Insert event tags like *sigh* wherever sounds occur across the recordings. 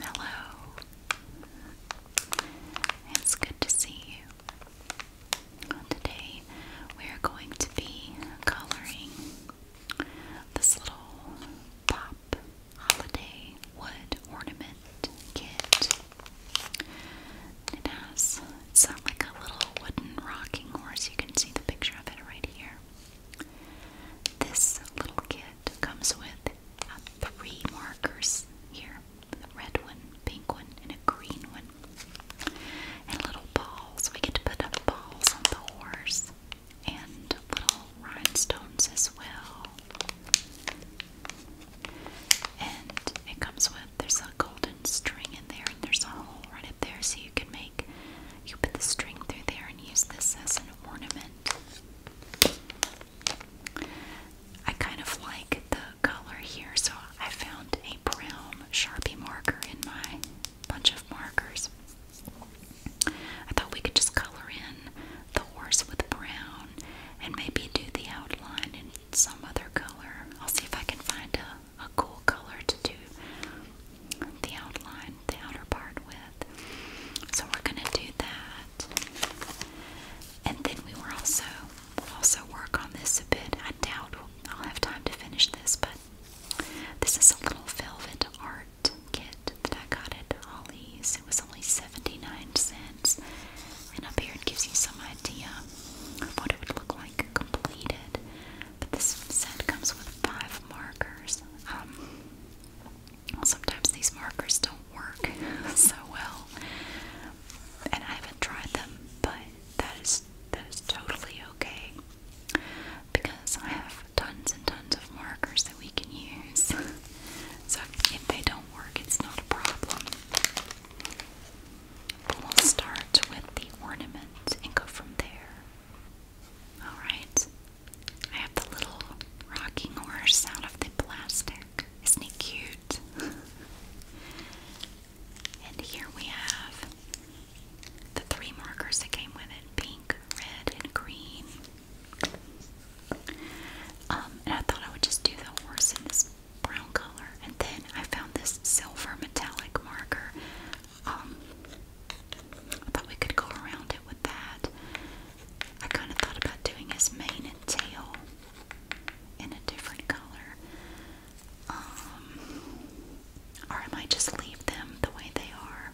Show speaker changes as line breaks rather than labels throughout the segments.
Hello. It's good to see you. Today we are going to be coloring this little pop holiday wood ornament kit. It has it's uh, like a little wooden rocking horse. You can see the picture of it right here. This little kit comes with uh, three markers here a red one, pink one, and a green one. And little balls. We get to put the balls on the horse. And little rhinestones as well. And it comes with there's a golden string in there and there's a hole right up there so you can make you put the string through there and use this as an ornament. I kind of like the color here, so I found a brown Sharpie marker in my bunch of markers. I thought we could just color in the horse with brown and maybe do the outline in some other color. I'll see if I can find a a cool color to do the outline, the outer part with. So we're gonna do that. And then we will also also work on this a bit. I doubt I'll have time to finish this, but this is a little velvet art kit that I got at Ollie's. It was only 79 cents. And up here it gives you some idea of what it would look like completed. But this set comes with five markers. Um, sometimes these markers don't work *laughs* so well, and I haven't tried them, but that is that is totally okay because I have tons and tons of markers that we can use. *laughs* so if they don't work, it's not a problem we'll start with the ornament and go from there. Alright. I have the little rocking horse out of the plastic. Isn't he cute? *laughs* and here we have the three markers that came with it pink, red, and green. Um, and I thought I would just do the horse in this brown color. And then I found this silver metallic marker. Um, could go around it with that. I kind of thought about doing his mane and tail in a different color. Um, or I just leave them the way they are.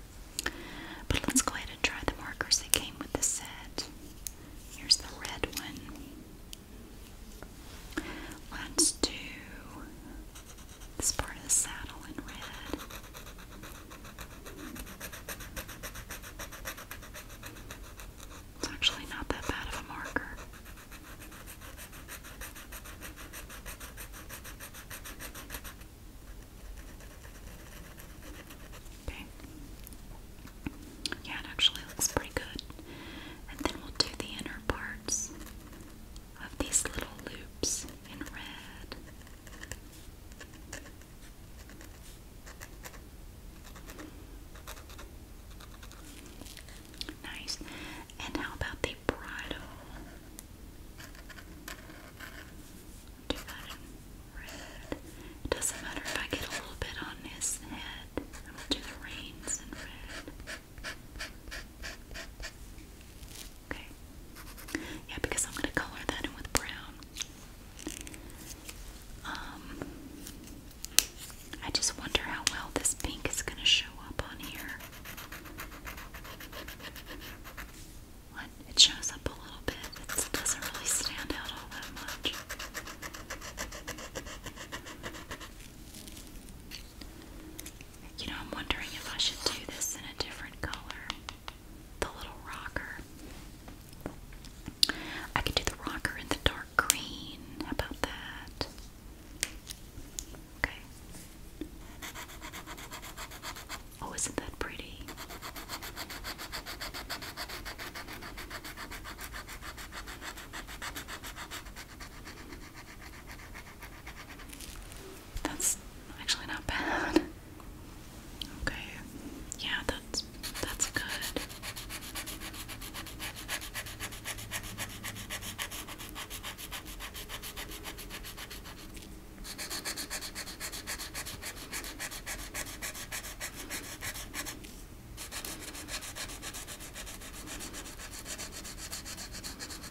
But let's go ahead and try the markers that came with the set. Here's the red one. Let's do this part of the saddle in red. It's actually not that bad of a marker. Okay. Yeah, it actually looks pretty good. And then we'll do the inner parts of these little loops in red. Nice. And how about the bridle? Do that in red. It doesn't matter if I get a little bit on his head. I will do the reins in red. Okay. Yeah, because I'm gonna color that in with brown. Um, I just wonder how well this pink is gonna show up on here. What? It shows up a little bit. It doesn't really stand out all that much. You know, I'm wondering if I should do this in a different color. The little rocker. I could do the rocker in the dark green. How about that? Okay. Oh, isn't that pretty? That's actually not bad. Okay. Yeah, that's that's good.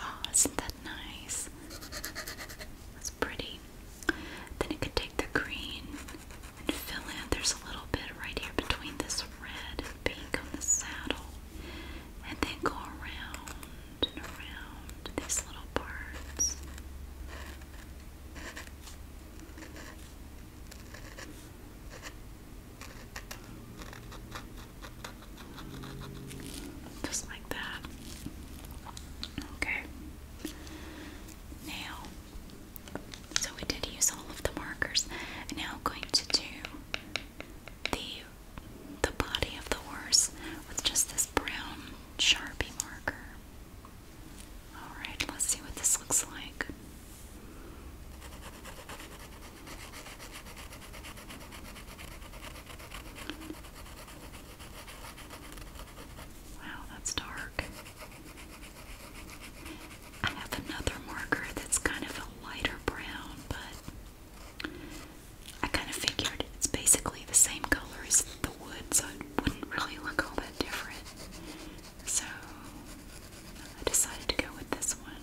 Oh, isn't that nice? pretty. Then it could take the green and fill in. There's a little bit right here between this red pink on the saddle. And then go around and around these little parts. Just like that. Okay. Now, so we did use all of the markers. now going to do the the body of the horse with just this brown Sharpie marker. Alright, let's see what this looks like. Wow, that's dark. I have another marker that's kind of a lighter brown, but I kind of figured it's basically the same color as the wood, so it wouldn't really look all that different. So I decided to go with this one.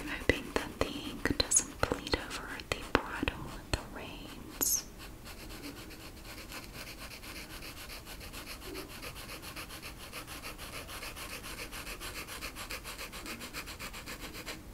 I'm hoping that the ink doesn't bleed over the bridle and the reins.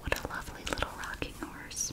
What a lovely little rocking horse.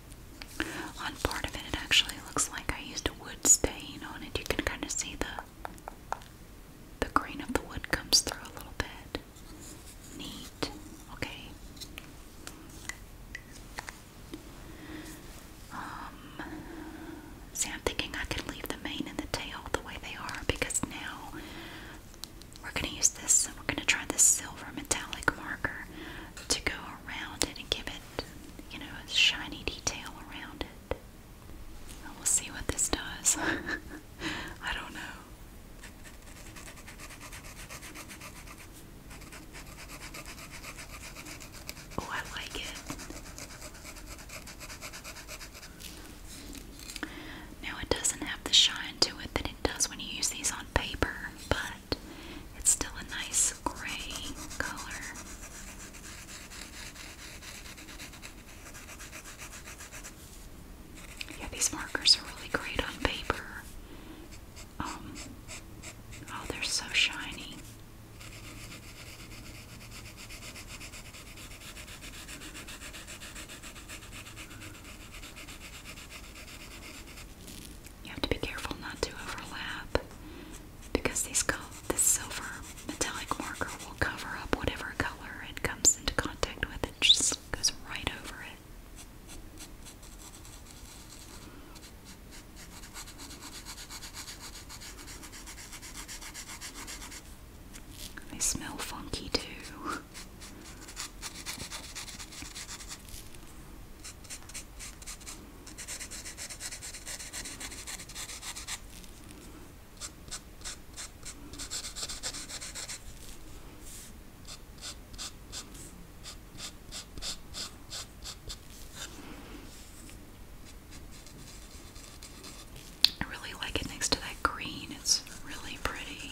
On part of it, it actually looks like I used a wood stain on it. You can kind of see the the green of the wood comes through a little bit. Neat. Okay. Um, see, I'm thinking I could leave the mane and the tail the way they are because now we're going to use this. We're going to try this silver metallic marker to go around it and give it you know, a shiny detail around it. we'll see what this does. *laughs* I don't know. Oh, I like it. Now, it doesn't have the shine to it that it does when you use these on paper, but it's still a nice gray color. Yeah, these markers are really great on paper. Um, oh, they're so shiny. You have to be careful not to overlap because this silver metallic marker will cover up whatever color it comes into contact with. It just goes right over it. They smell funky too. I really like it next to that green, it's really pretty.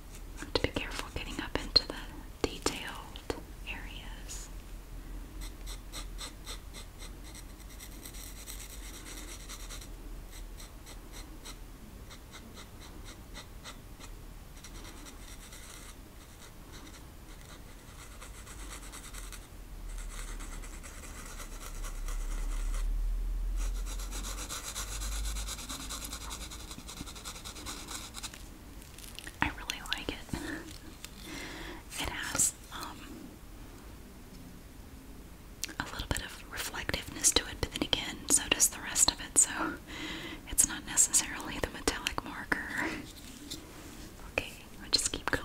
I have to be careful getting up into the detailed areas. I really like it. It has um, a little bit of reflectiveness to it, but then again, so does the rest of it, so it's not necessarily the metallic marker. Okay, I'll just keep going.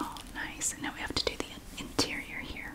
Oh, nice. And now we have to do the interior here.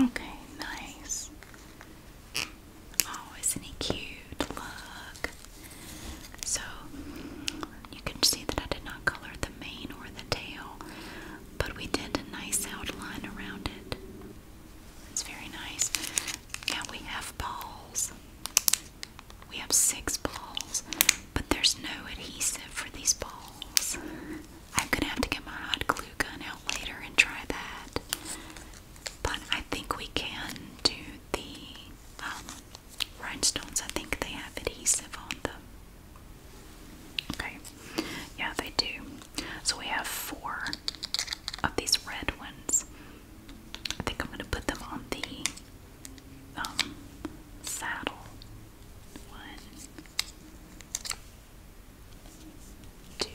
Okay, nice. Oh, isn't he cute? Look. So you can see that I did not color the mane or the tail, but we did a nice outline around it. It's very nice. Now we have balls. We have six balls, but there's no adhesive for these balls. I'm gonna have to get my hot glue gun out later and try that. But I think we can do the um, rhinestones. I think they have adhesive on them. Okay, yeah, they do. So we have four of these red ones. I think I'm gonna put them on the um, saddle. One, two,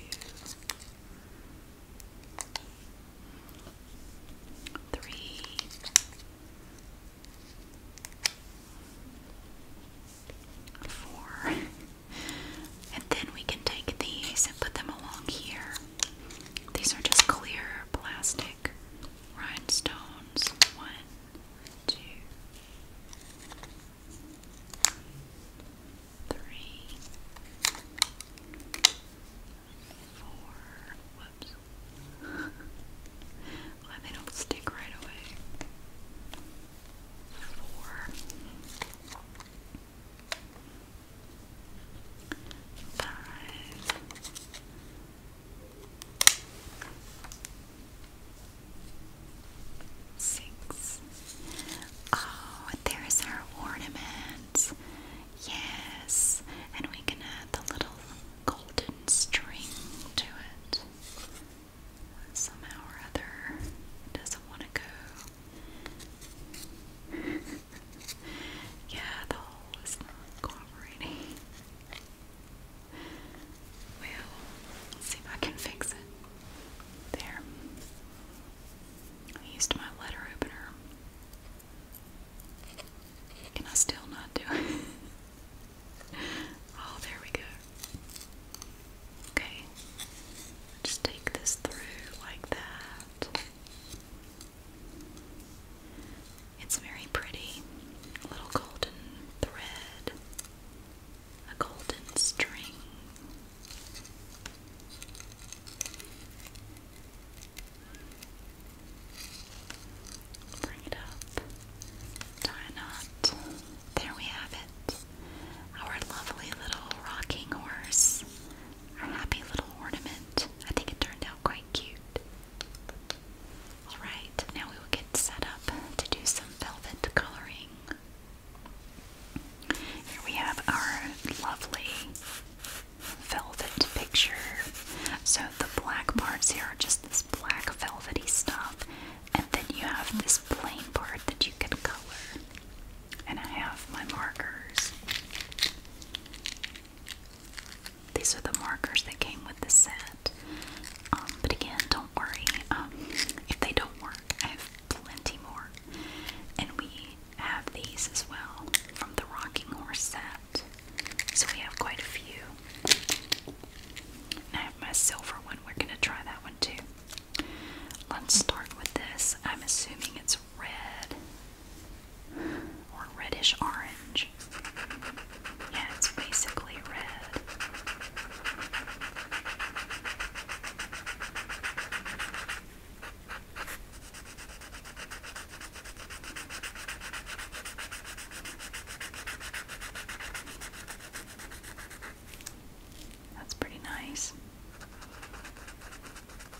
*laughs* And then we can take these and put them along here. These are just clear plastic rhinestones. One, two, three, four. Whoops. *laughs* Why they don't stick right away. Four five, six. Oh, there's our ornament. Yes, and we can add the little golden string to it. Somehow or other, doesn't want to go. *laughs* yeah, the hole is not cooperating. Well, let's see if I can fix it. There. used my letter opener. Can I still not do it? *laughs* oh, there we go. Okay. Just take this through like that. It's very pretty. little golden thread, a golden string. Bring it up, tie a knot. There we have it. Our lovely little rocking horse her happy little ornament. I think it turned out quite cute. Alright, now we will get set up to do some velvet coloring. Here we have our lovely velvet picture. So the black parts here are just this black velvety stuff, and then you have this plain part that you can color and I have my markers. These are the markers that came with the set. Um, but again, don't worry. Um, if they don't work, I have plenty more. And we have these as well from the Rocking Horse set. So we have quite a few. And I have my silver one. We're going to try that one too. Let's start with this. I'm assuming it's red or reddish orange. Yeah, it's basically red. That's pretty nice.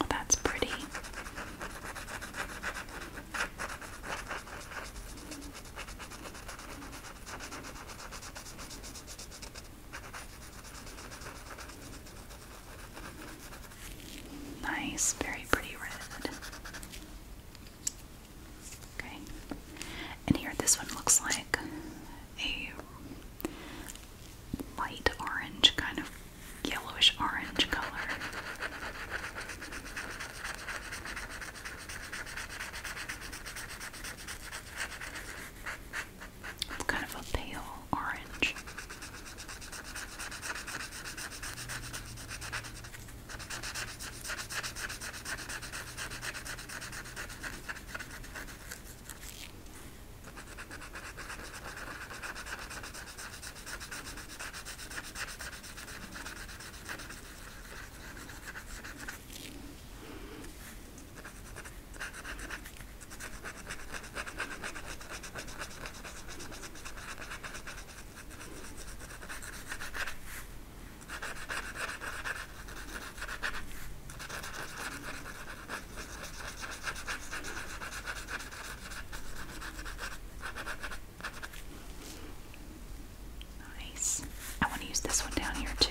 Oh, that's pretty. Nice, very pretty red. Okay, and here this one looks like a light orange, kind of yellowish orange color kind of a pale orange. Nice. I want to use this one down here too.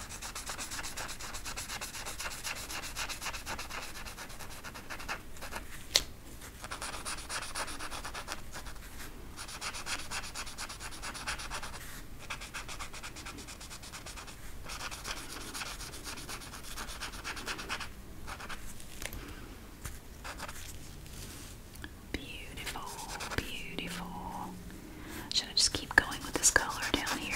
Beautiful, beautiful. Should I just keep going with this color down here?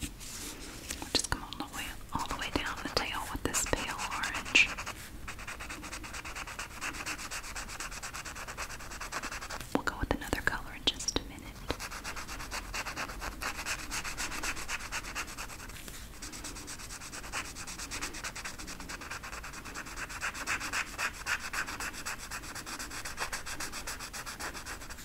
We'll just come all the way all the way down the tail with this pale orange. We'll go with another color in just a minute.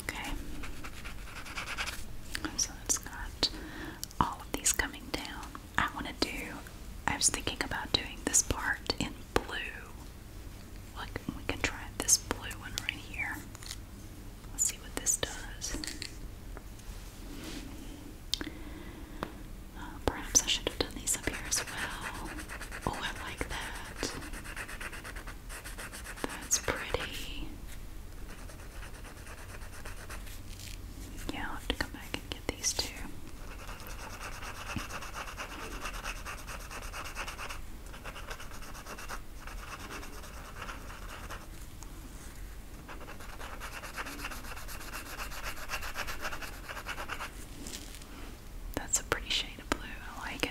Okay. So it's got all of these coming down. I want to do, I was thinking about doing this part in blue. Look, we can try this blue one right here. Let's see what this does. Uh, perhaps I should have done these up here as well. Oh, I like that. That's pretty. Yeah, to come back and get these two. That's a pretty shade of blue. I like it.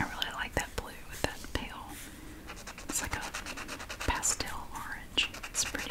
I really like that blue with that pale. It's like a pastel orange. It's pretty.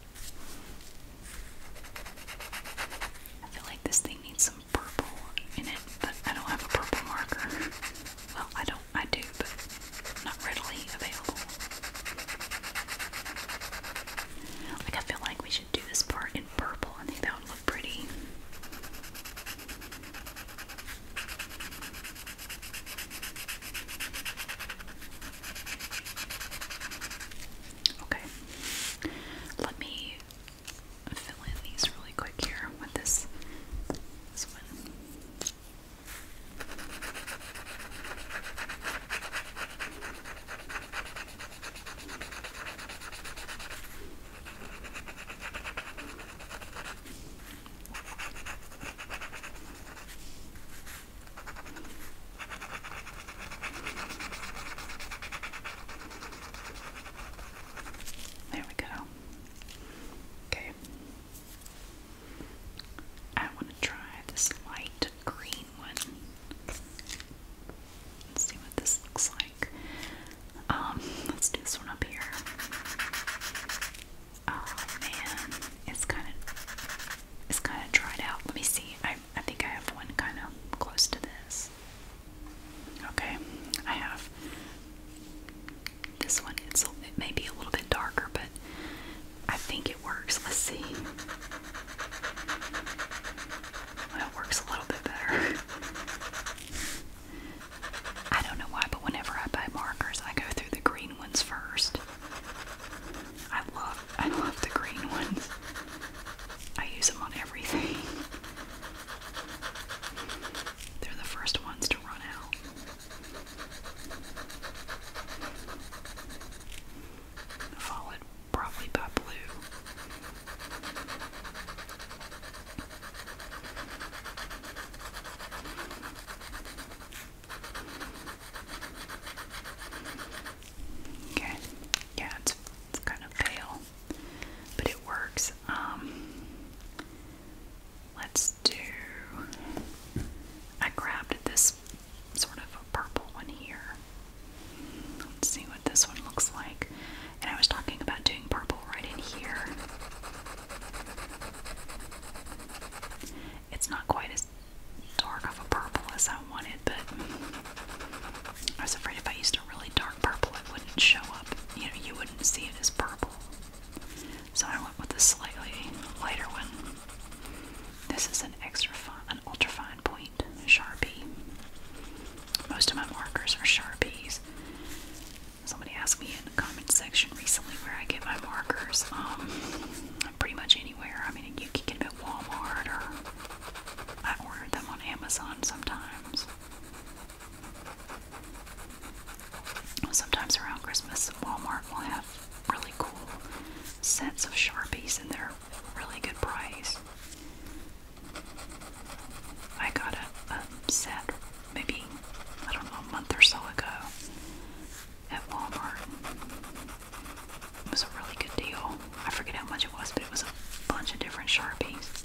I feel like this thing needs some purple in it, but I don't have a purple marker. Well, I don't, I do, but not readily available. I feel like we should do this part in purple. I that would look pretty. Okay, let me fill in these really quick here with this this one. Okay. There we go. Okay. I want to try this light green one. Let's see what this looks like. Um, let's do this one up here. Oh man, it's kind of it's kind of dried out. Let me see. I think I have one kind of close to this. Okay, I have this one. It's a, it may be a little bit darker, but I think it works. Let's see. it works a little bit better. I don't know why, but whenever I buy markers, I go through the green ones first. I love I love the green ones. I use them on everything. They're the first ones to run out. Followed probably by Okay yeah, it's, it's kind of pale, but it works. Um, let's do. I grabbed this sort of a purple one here. Let's see what this one looks like. And I was talking about doing purple right in here. It's not quite as dark of a purple as I wanted, but I was afraid if I used a really dark purple, it wouldn't show up. You know, you wouldn't see it as purple. So I went with a slightly lighter one. This is an extra fine, an ultra fine point Sharpie. Most of my markers are Sharpies. Somebody asked me in the comment section recently where I get my markers. Um, pretty much anywhere. I mean, you can get them at Walmart or I order them on Amazon sometimes. Sometimes around Christmas, Walmart will have really cool sets of Sharpies and they're really good price. I got a, set maybe, I don't know, a month or so ago at Walmart. It was a really good deal. I forget how much it was, but it was a bunch of different Sharpies.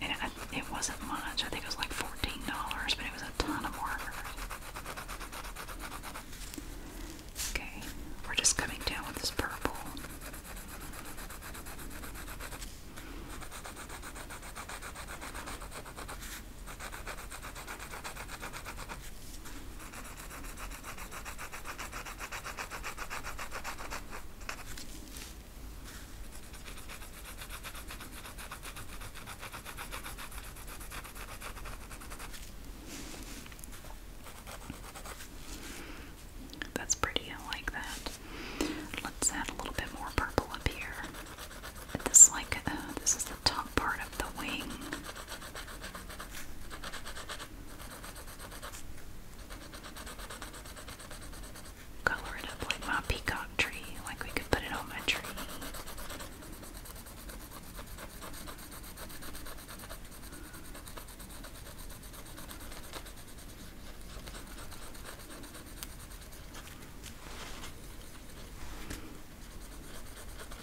And it, wasn't much. I think it was like $14, but it was a ton of work. Okay, we're just coming down with this purple. That's pretty, I like that. Let's add a little bit more purple up here. This like uh, this is the top part of the wing. Color it up like my peacock tree, like we could put it on my tree.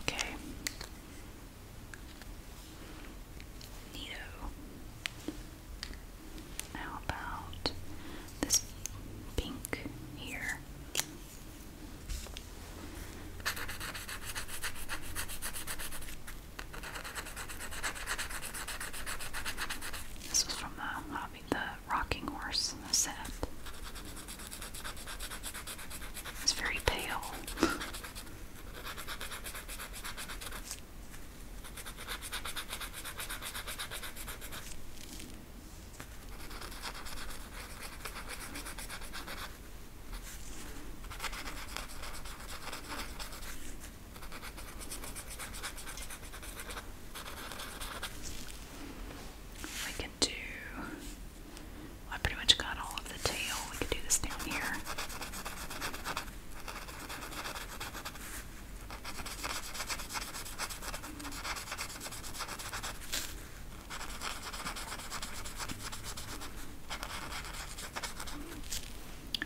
Okay. Neato. How about this pink here? This was from the uh, the rocking horse set. It's very pale. We can do, I pretty much got all of the tail. We could do this down here.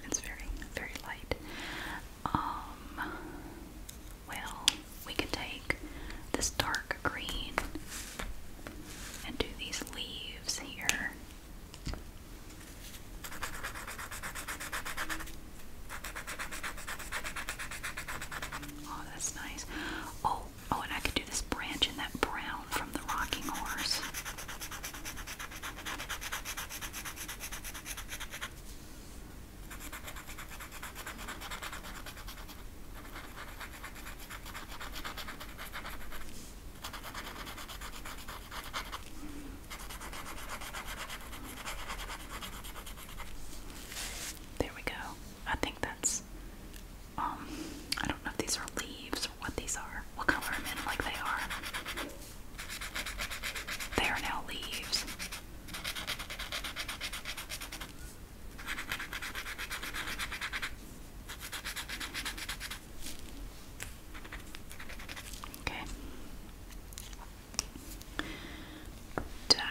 It's very, very light. Um, well, we can take this dark green and do these leaves here. Oh, that's nice. Oh, oh, and I could do this branch in that brown from the rocking horse. There we go. I think that's um I don't know if these are leaves or what these are. We'll cover them in like they are. They are now leaves. Okay.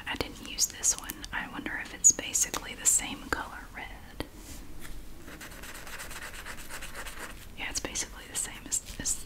I didn't use this one. I wonder if it's basically the same color red. Yeah, it's basically the same as, this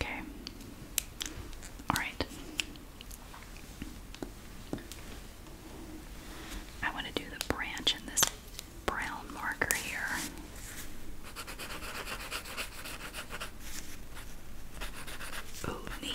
Okay. All right. I want to do the branch in this brown marker here. Oh, neat.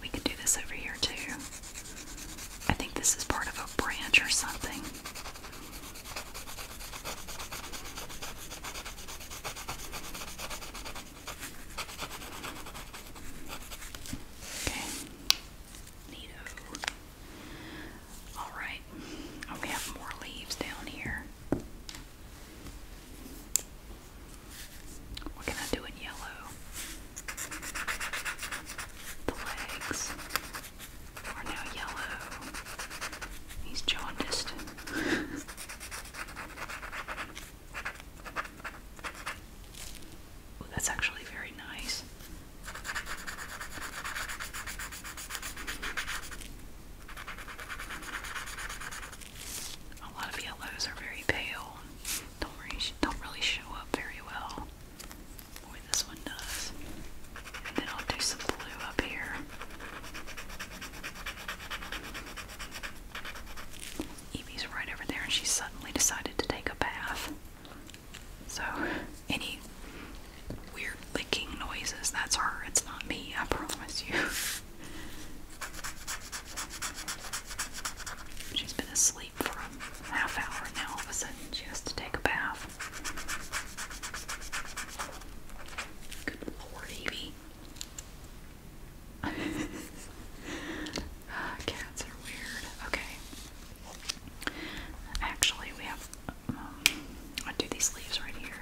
We could do this over here too. I think this is part of a branch or something. Okay. Neato. Alright. Oh, we have more leaves down here. We're gonna do it yellow. The legs are now yellow. He's jaundiced. that's actually very nice. A lot of yellows are very pale. Don't worry, don't really show up very well. Boy, this one does. then I'll do some blue up here. Evie's right over there, and she suddenly decided to take a bath. So, any weird licking noises, that's her, it's not me, I promise you. *laughs* She's been asleep for a half hour, now all of a sudden she has to take a bath. Good lord, Evie. *laughs* Uh, cats are weird. Okay. Actually, we have. Um, I do these leaves right here.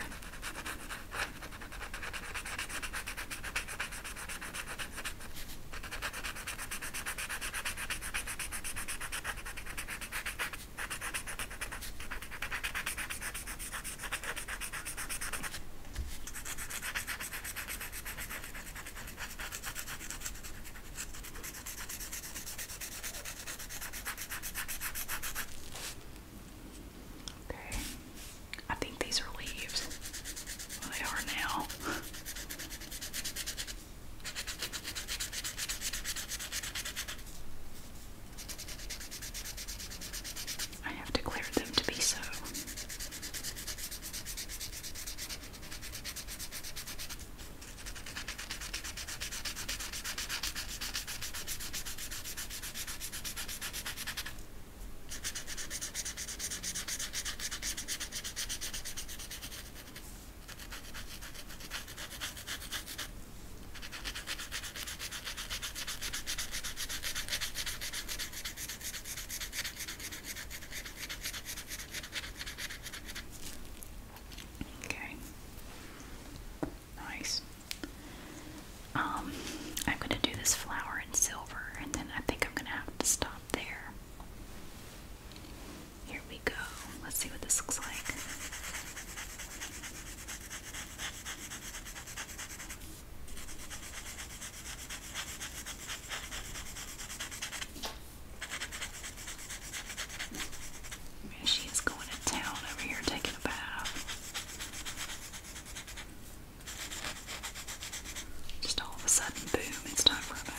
Okay. I think these are leaves they are now. I have declared them to be so. Okay. Nice. Um, I'm gonna do this flower in silver, and then I think I'm gonna have to stop there. Here we go. Let's see what this looks like. She's going to town over here taking a bath. Just all of a sudden, boom, it's time for a bath.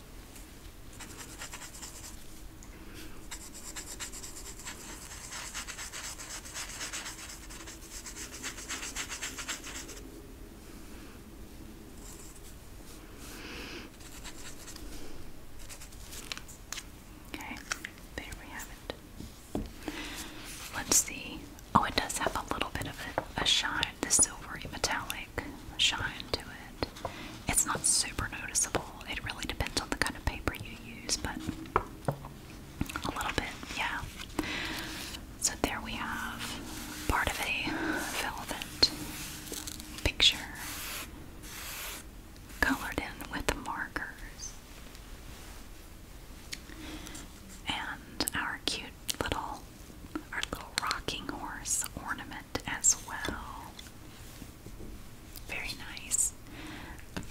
Okay, there we have it. Let's see. Oh, it does have a little bit of a, a shine, the silvery metallic shine to it. It's not super noticeable. It really depends on the kind of paper you use, but a little bit, yeah. So there we have part of a velvet picture colored in with markers. And our cute little our little rocking horse ornament as well. Very nice.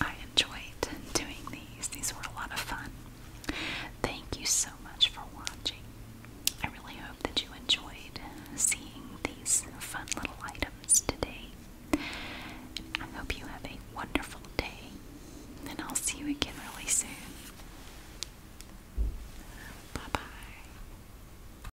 I enjoyed doing these. These were a lot of fun. Thank you so much for watching. I really hope that you enjoyed seeing these fun little items today. I hope you have a wonderful day, and I'll see you again really soon. Bye bye.